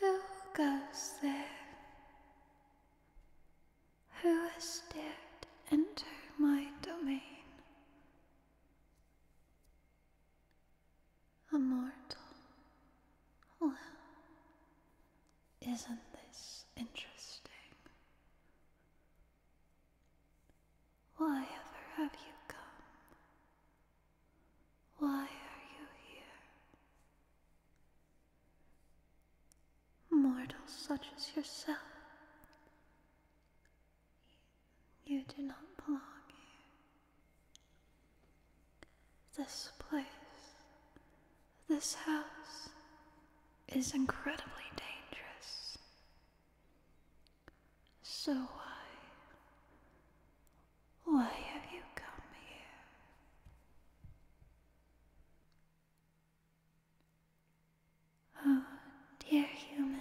Who goes there? Who has dared enter my domain? A mortal. Well, isn't this interesting? Why ever have you come? Why are you here? mortal such as yourself, you do not belong here. This place, this house, is incredibly dangerous. So why? Why have you come here? Oh, dear human,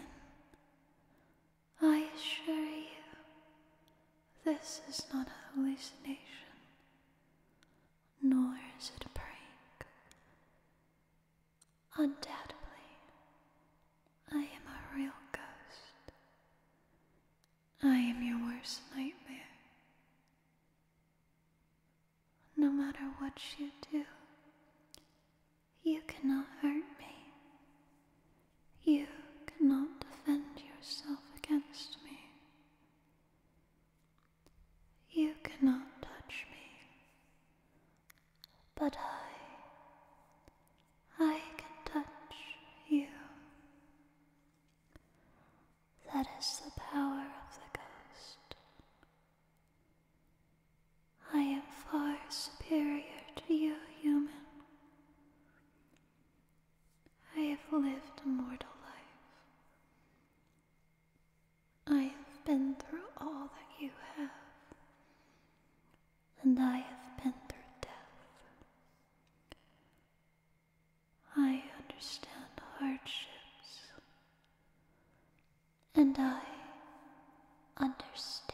I assure you, this is not a hallucination, nor is it a prank. Undoubtedly, I am a real ghost. I am your worst nightmare. No matter what you do, you cannot hurt me. You cannot defend yourself against me. You cannot touch me but I, I can touch you. That is the power of the ghost. I am far superior to you, human. I have lived a mortal life. I have been through all that you have, and I have been through death. I understand hardships, and I understand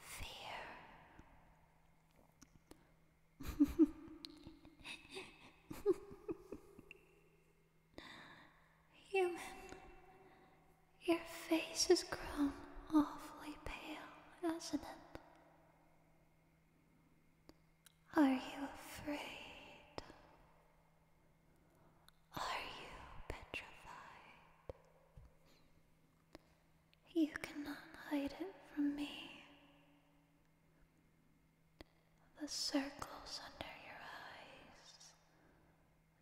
fear. Human, your face has grown awfully pale, hasn't it? Are you afraid? Are you petrified? You cannot hide it from me. The circles under your eyes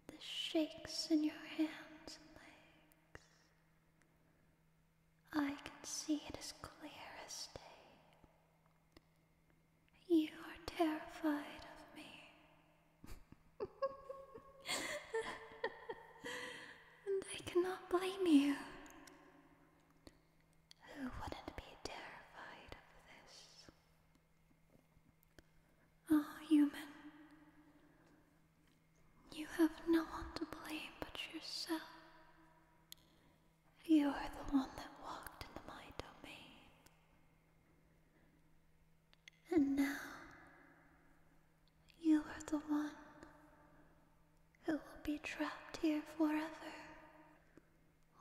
the shakes in your hands and legs. I can see it as clear as day. You are terrified of me. and I cannot blame you. Who wouldn't be terrified of this? Ah, oh, human, you have no one to blame but yourself. You are the one that walked into my domain. And now, you are the one who will be trapped here forever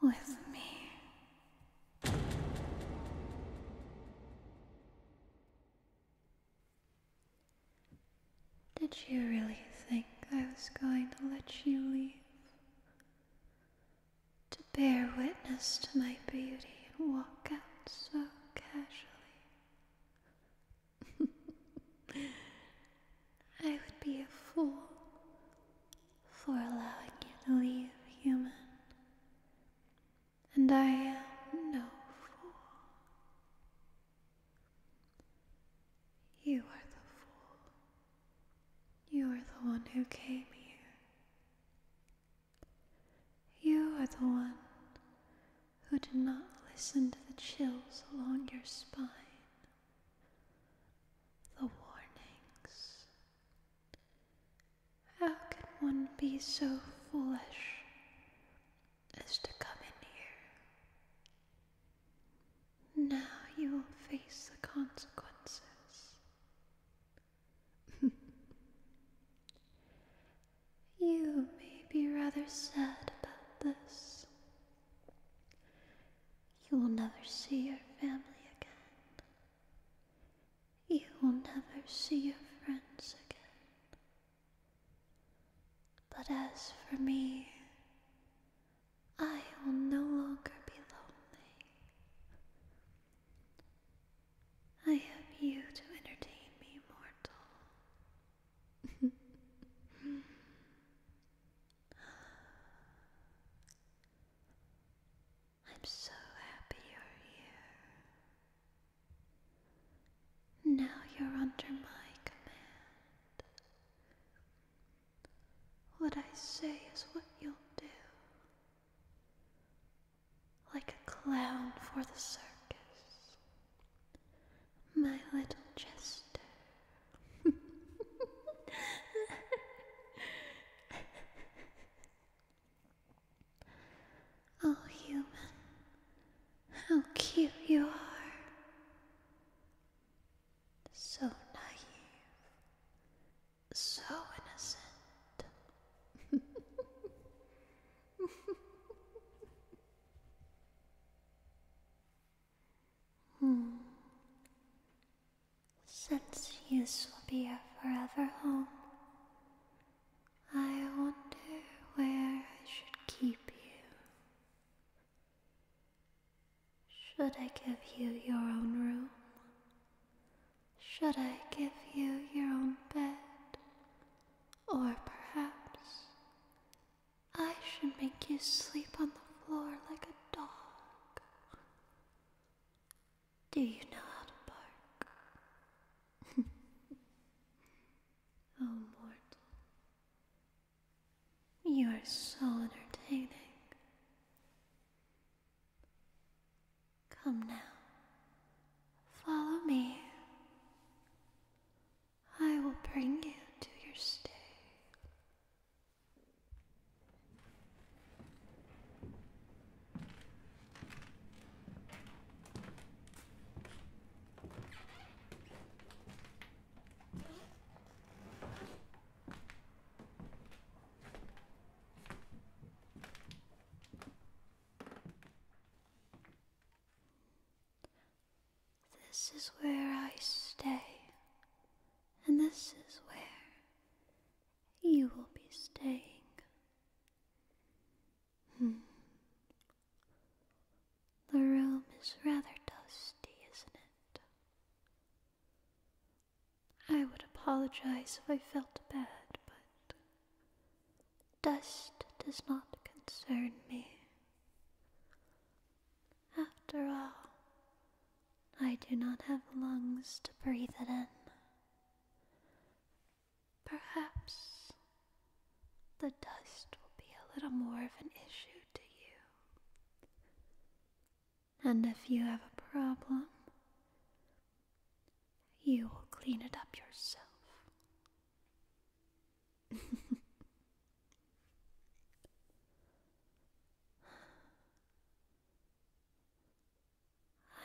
with me. Did you really think I was going to let you leave? To bear witness to my beauty and walk out so casually. I would be a fool for allowing you to leave, human and I am no fool. You are the fool. You are the one who came here. You are the one who did not listen to the chills along your spine, the warnings, how can one be so foolish as to come in here? Now you will face the consequences. you may be rather sad about this. You will never see your family again. You will never see your friends again. But as for me, I will no longer be lonely. I have you to entertain me, mortal. I'm so happy you're here. Now you're under my command. What I say is what you'll do. Like a clown for the circus. My little jester. Oh, human, how cute you are. So naive, so innocent. hmm. Since use will be our forever home, I wonder where I should keep you. Should I give you your own room? Should I give you your own bed? Or perhaps I should make you sleep on the floor like a dog. Do you know how to bark? oh, mortal. You are so entertaining. Come now. Follow me. I will bring you to your stay. This is where I stay, and this is where you will be staying. Hmm. The room is rather dusty, isn't it? I would apologize if I felt bad, but dust does not concern me. After all, I do not have lungs to breathe it in. Perhaps the dust will be a little more of an issue to you. And if you have a problem, you will clean it up yourself.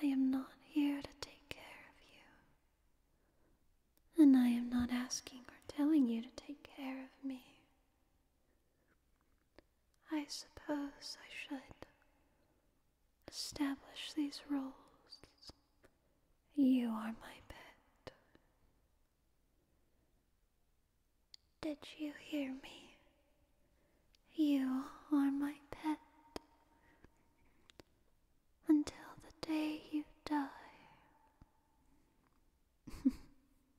I am not here to take care of you. And I am not asking or telling you to take care of me. I suppose I should establish these rules. You are my pet. Did you hear me? You are my pet until the day you die.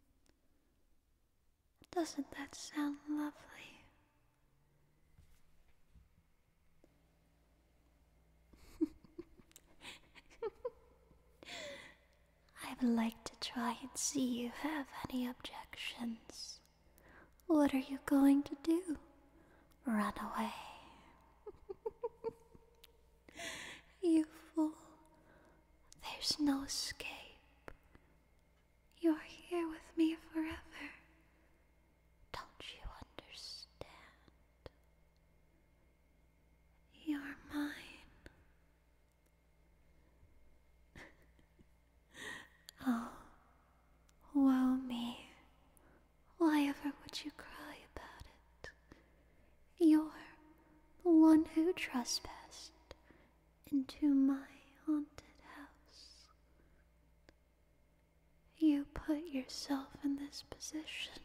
Doesn't that sound lovely? I would like to try and see you have any objections. What are you going to do? Run away. you fool. There's no escape. You're here with me forever. Don't you understand? You're mine. oh, woe me. Why ever would you cry about it? You're the one who trespassed into my haunted house. You put yourself in this position.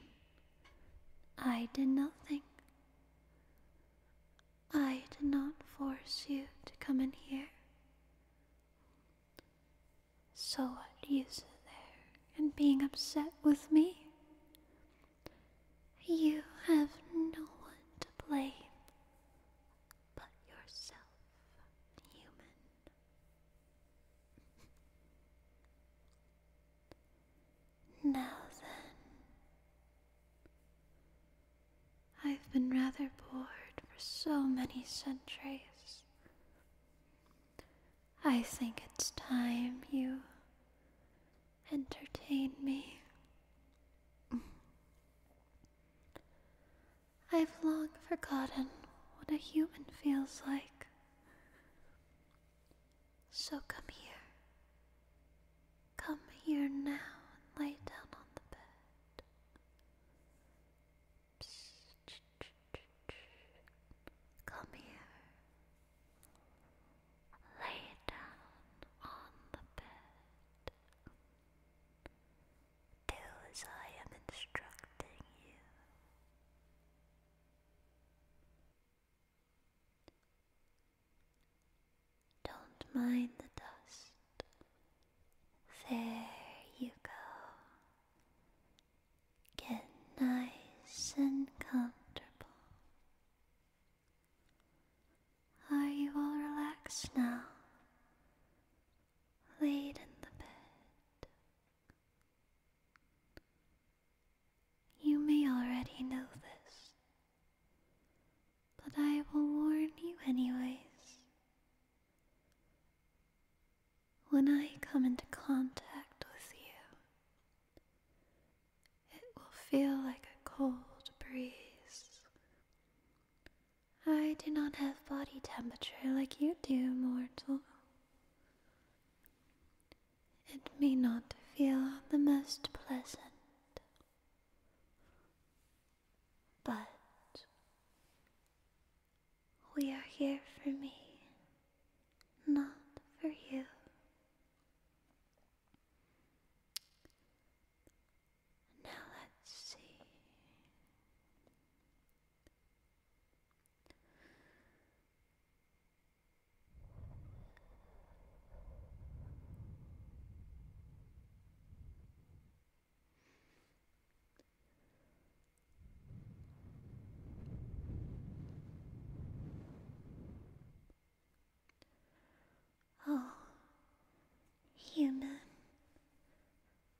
I did nothing. I did not force you to come in here. So what use is there in being upset with me? You have no one to blame but yourself, human. Now then, I've been rather bored for so many centuries I think it's time you entertain me. I've long forgotten what a human feels like. So come here. Come here now and lay down on the bed. Come here. Lay down on the bed. Do as I am instructing you. Don't mind the dust. There you go. Get nice and comfortable. Are you all relaxed now? Laid in the bed. You may already know this, but I will warn you, anyways. When I come into contact with you, it will feel like a cold breeze. I do not have body temperature like you do, mortal. It may not feel the most pleasant, but we are here for me, not for you. Now let's see. Oh, human,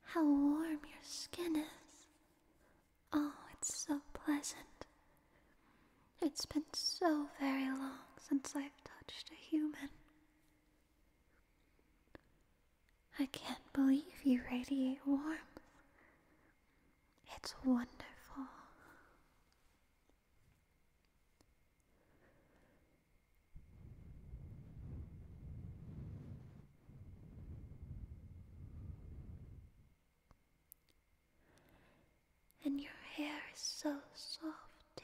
how warm your skin is. Oh, it's so pleasant. It's been so very long since I've touched a human. I can't believe you radiate warmth. It's wonderful. And your hair is so soft, too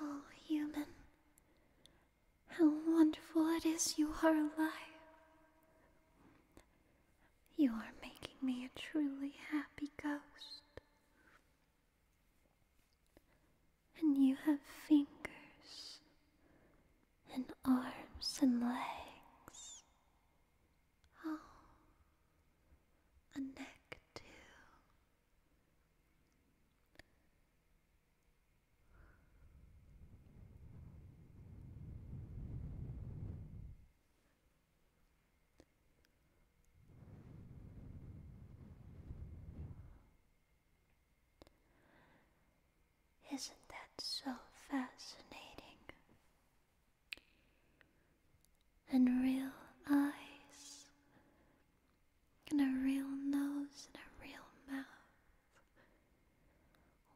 Oh, human, how wonderful it is you are alive. You are making me a truly happy ghost. And you have fingers, and arms, and legs. Oh, a neck, too. Isn't that so fascinating? And real eyes and a real nose and a real mouth.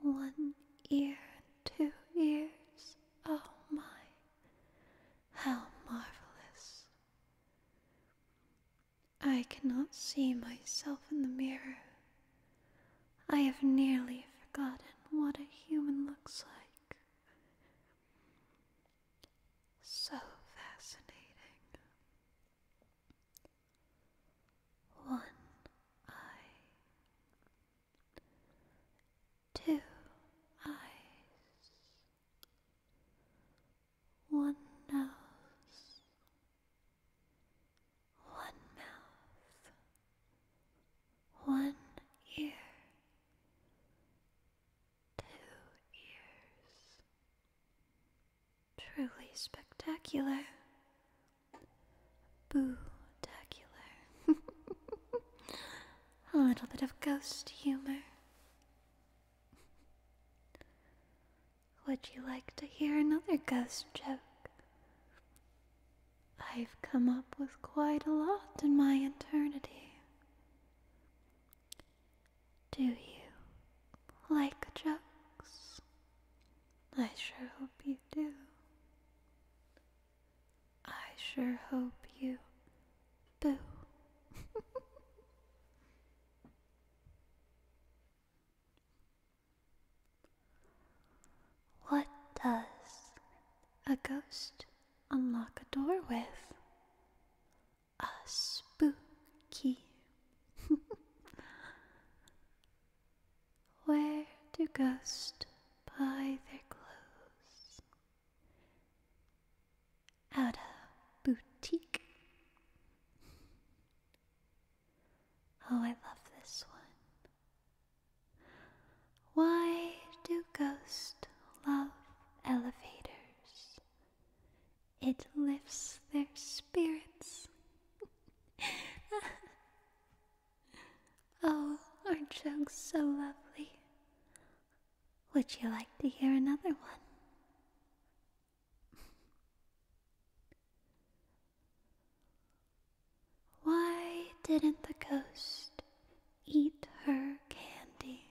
One ear and two ears. Oh my, how marvelous! I cannot see myself in the mirror. I have nearly forgotten what a human looks like. So fascinating. One eye, two eyes, one nose, one mouth, one ear, two years. Truly spectacular. Boo-tacular. A little bit of ghost humor. Would you like to hear another ghost joke? I've come up with quite a lot in my eternity. Do you like jokes? I sure hope you do. I sure hope you boo. what does a ghost unlock a door with? a spooky. Where do ghosts buy their clothes? At a boutique. Oh, I love this one. Why do ghosts love elevators it lifts their spirits. oh, our jokes so lovely? Would you like to hear another one? Why didn't the ghost eat her candy?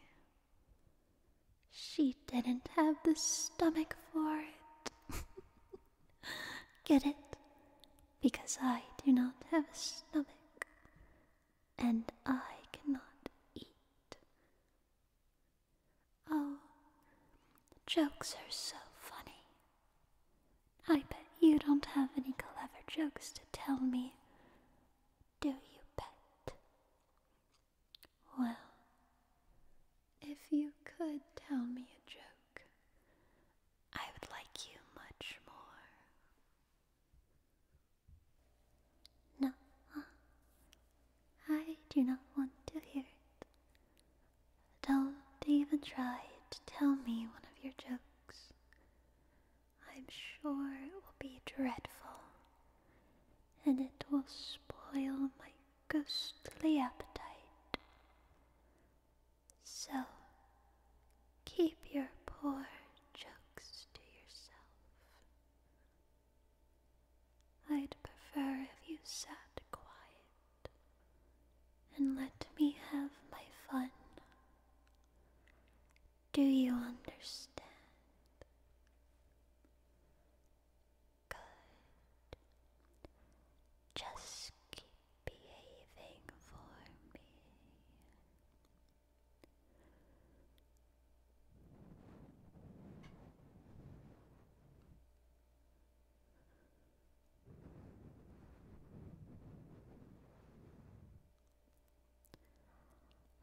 She didn't have the stomach for it. Get it? Because I do not have a stomach, and I cannot eat. Oh, jokes are so funny. I bet you don't have any clever jokes to tell me, do you, bet? Well, if you could tell me a joke, I would like you much more. No, I do not want to hear it. Don't even try to tell me one of your jokes. I'm sure it will be dreadful, and it will spoil my ghostly appetite. So keep your poor jokes to yourself. I'd prefer if you sat quiet and let me have my fun. Do you understand? Just keep behaving for me.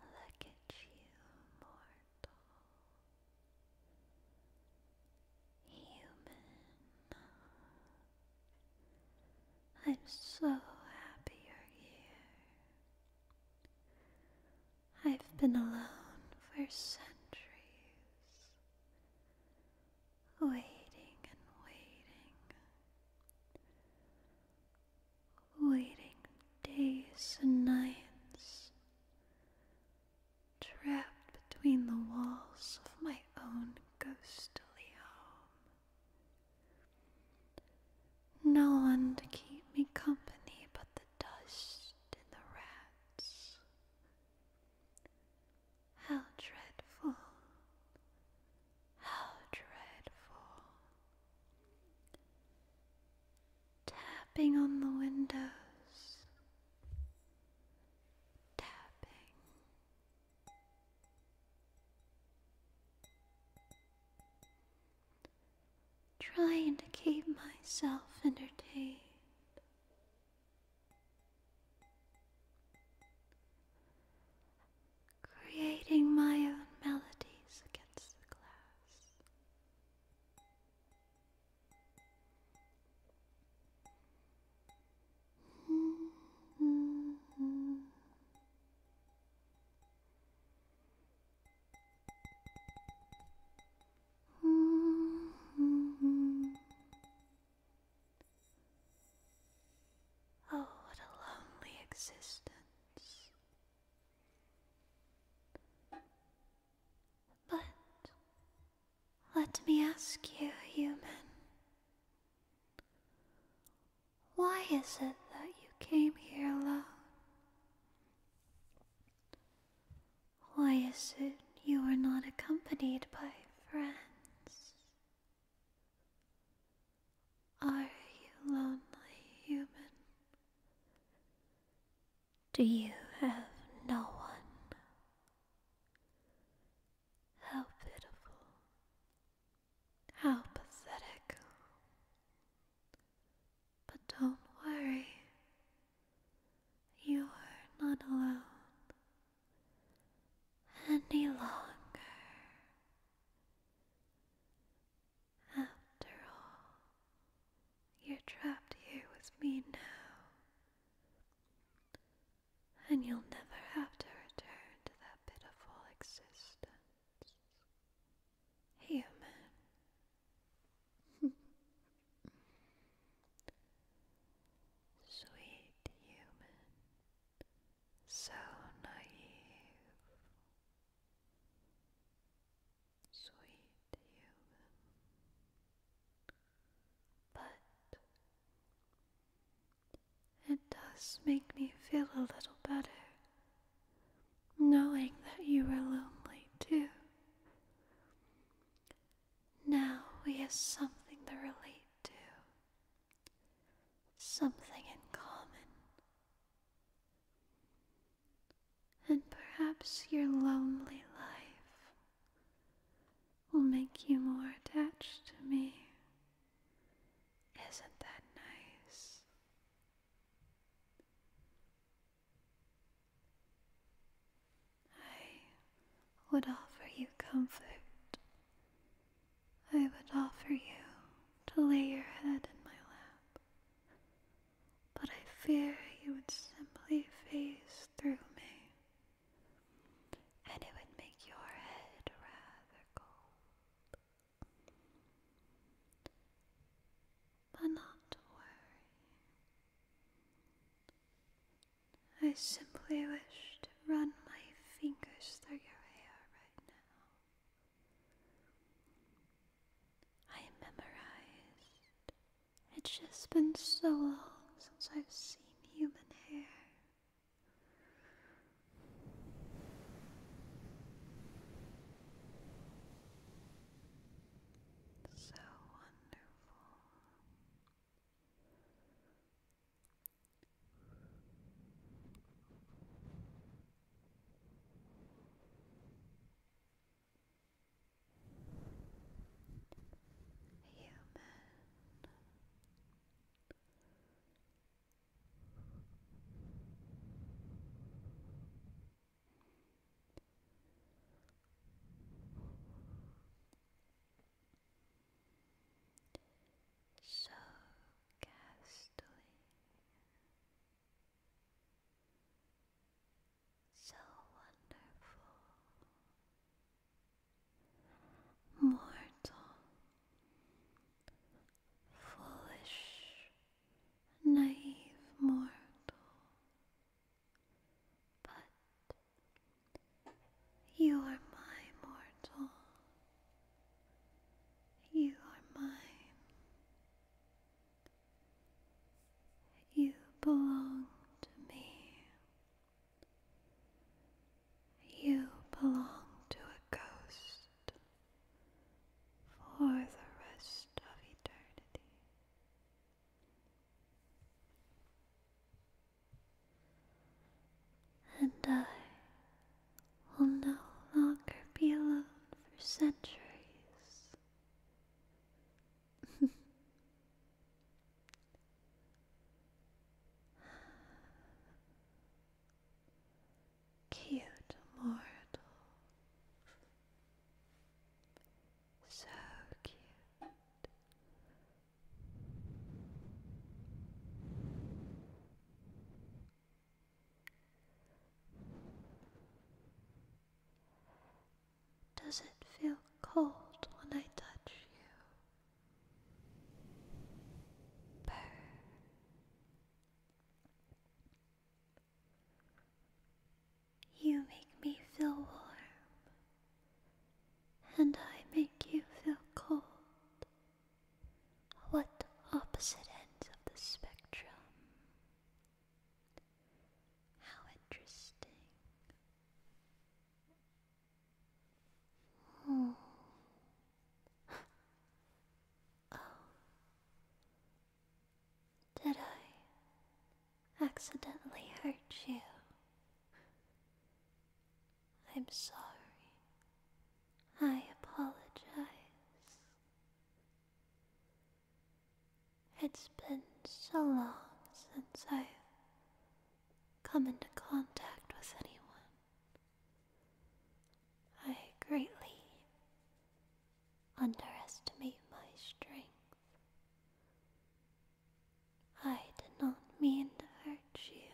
Look at you, mortal. Human, I'm so happy you're here. I've been alone for centuries, waiting and waiting, waiting days and nights trapped between the walls of my own ghostly home. No one to keep me company but the dust and the rats. How dreadful! How dreadful! tapping on the windows, tapping. Trying to keep myself entertained. Creating my own melodies against the glass. Oh, what a lonely existence. But let me ask you, human, why is it that you came here alone? Why is it you are not accompanied by friends? Are you lonely, human? Do you have no one? How pitiful. How pathetic. But don't worry. You are not alone any longer. After all, you're trapped here with me now. And you'll never have to return to that pitiful existence. Human. Sweet human. So naive sweet human. But it does make me feel a little better knowing that you were lonely too. Now we have something to relate to, something in common and perhaps your lonely life will make you more attached to me. Isn't that nice? I would offer you comfort. I would offer you to lay your head in my lap but I fear you would simply phase through me, and it would make your head rather cold. But not to worry. I simply wish to run my fingers through your hair right now. I memorized it's just been so long since I've seen human hair. So wonderful. So ghastly so wonderful, mortal, foolish, naive mortal, but you are my mortal, you are mine. You belong to me. You belong to a ghost for the rest of eternity. And I will no longer be alone for centuries. Cute mortal, so cute. Does it feel cold when I touch you? Burn. You make me feel warm, and I make you feel cold. What opposite ends of the spectrum? How interesting. Hmm. Did I accidentally hurt you? I'm sorry. I apologize. It's been so long since I've come into contact with anyone. I greatly underestimate my strength. I did not mean to hurt you.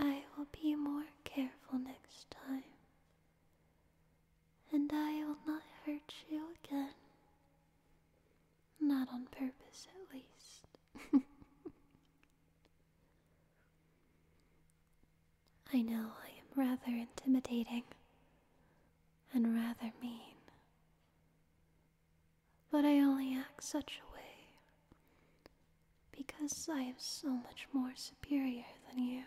I will be more careful next time and I will not hurt you again. Not on purpose, at least. I know I am rather intimidating and rather mean, but I only act such a way because I am so much more superior than you.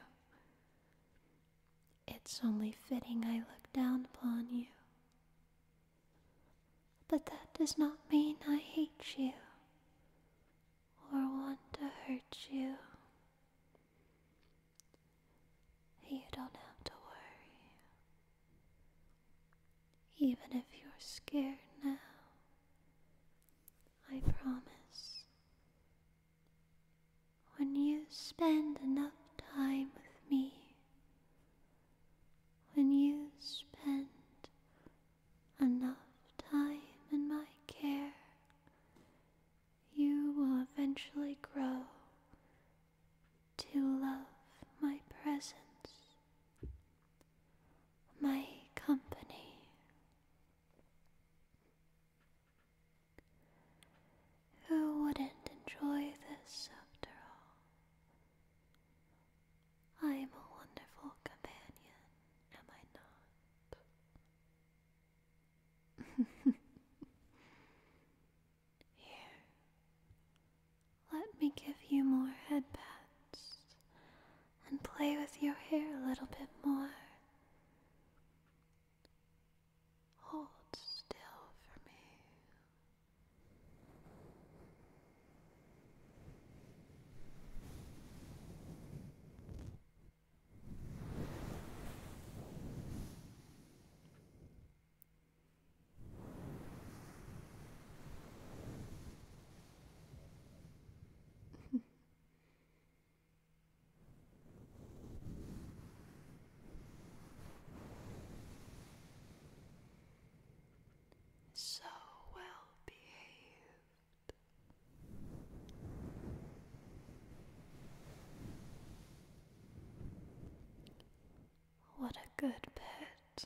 It's only fitting I look down upon you. But that does not mean I hate you or want to hurt you. You don't have to worry. Even if you're scared now, I promise when you spend enough time with me, when you spend enough time in my care, you will eventually grow to love my presence, my company. Who wouldn't enjoy this after all? I am a wonderful companion, am I not? Here, let me give you more head and play with your hair a little bit more. Hold still for me. So well behaved. What a good pet.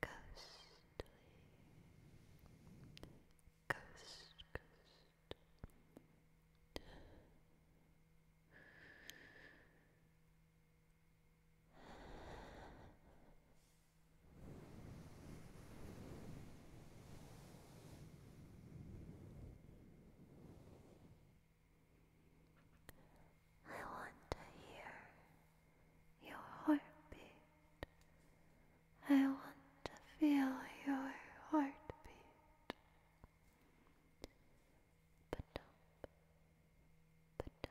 Ghostly, ghost, ghost. Ghost, I want to hear your heartbeat. I want to feel your heartbeat. But dump, but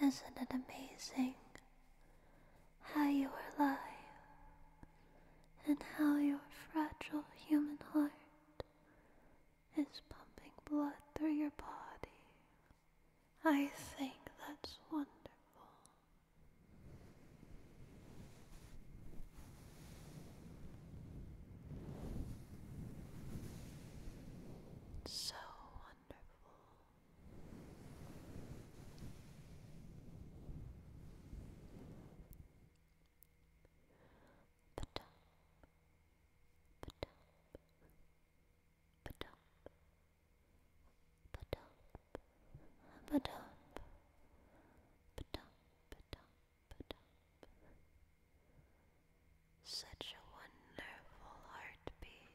Isn't it amazing how you are alive and how your fragile human heart is pumping blood through your body? I think that's wonderful. So wonderful. The top, the top, the top, the top, the top, Such a wonderful heartbeat.